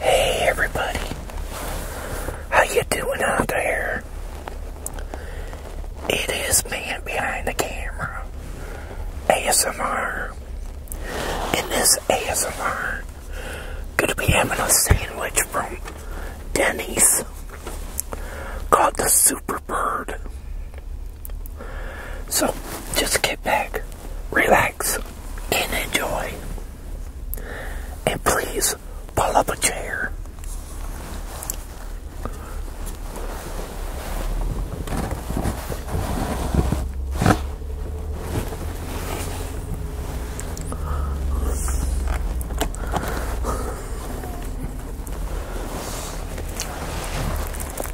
Hey everybody, how you doing out there? It is man behind the camera, ASMR. In this ASMR, gonna be having a sandwich from Denny's called the Super Bird. So just get back, relax, and enjoy. And please pull up a chair.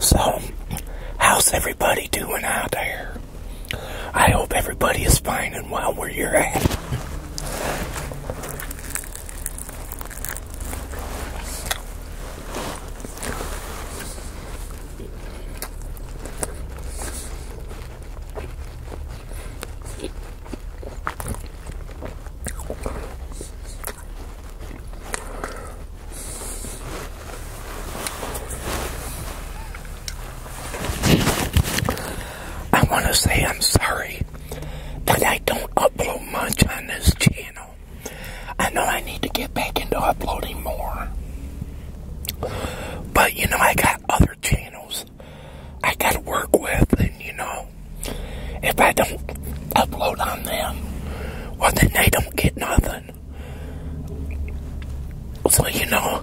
So, how's everybody doing out there? I hope everybody is fine and well where you're at. I want to say I'm sorry but I don't upload much on this channel. I know I need to get back into uploading more. But, you know, I got other channels I got to work with, and, you know, if I don't upload on them, well, then they don't get nothing. So, you know,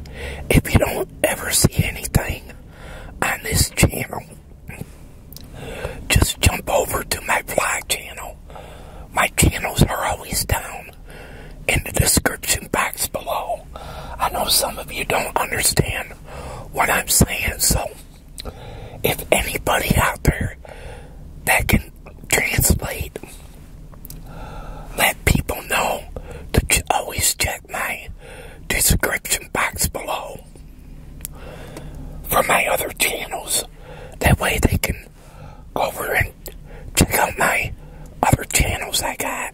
if you don't ever see anything on this channel, just jump over to my vlog channel. My channels are always down in the description box below. I know some of you don't understand what I'm saying, so if anybody out there that can translate, let people know to always check my description box below people from my other channels. That way they can go over and check out my other channels I got.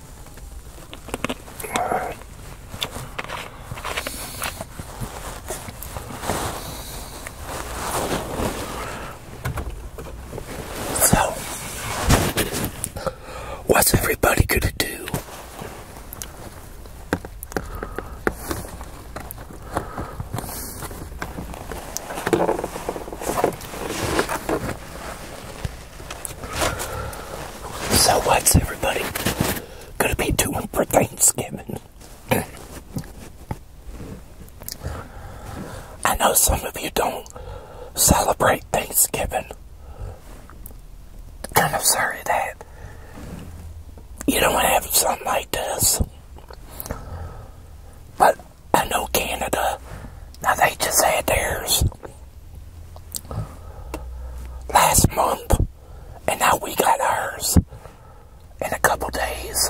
So, what's everybody gonna do? So what's everybody gonna be doing for Thanksgiving? I know some of you don't celebrate Thanksgiving. Kind of sorry that you don't have something like this. But I know Canada, now they just had theirs last month, and now we got ours in a couple days.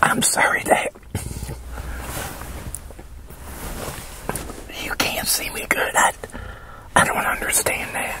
I'm sorry that you can't see me good. I, I don't understand that.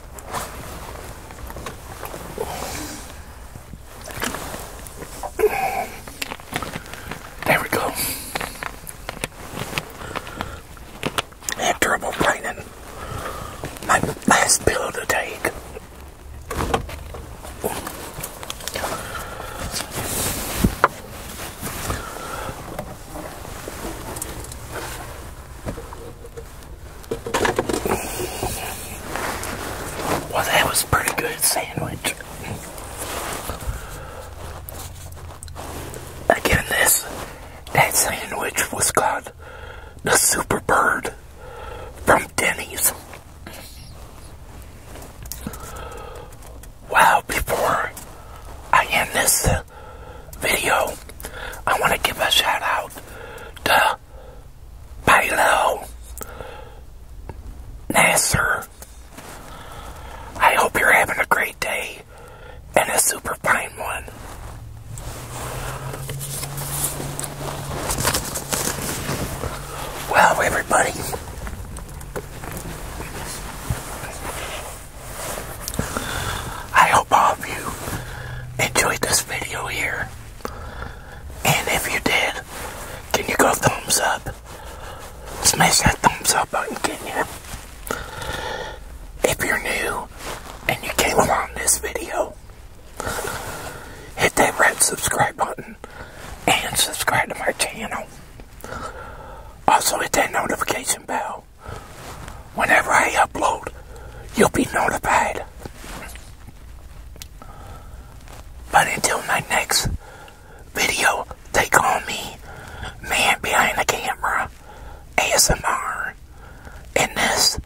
There we go. I had trouble my last pill to take. Well, that was a pretty good sandwich. Again, this that sandwich was called the Super Bird from Denny's. Wow! Before I end this video, I want to give a shout out to Pilo Nasser. I hope you're having a great day and a super fine one. Well, everybody. I hope all of you enjoyed this video here. And if you did, can you go thumbs up? Smash that thumbs up button, can you? If you're new and you came along this video, hit that red subscribe button and subscribe to my channel. Also hit that notification bell Whenever I upload, you'll be notified. But until my next video, they call me Man Behind the Camera ASMR. And this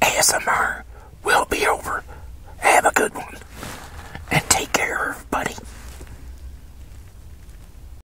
ASMR will be over. Have a good one. And take care, buddy.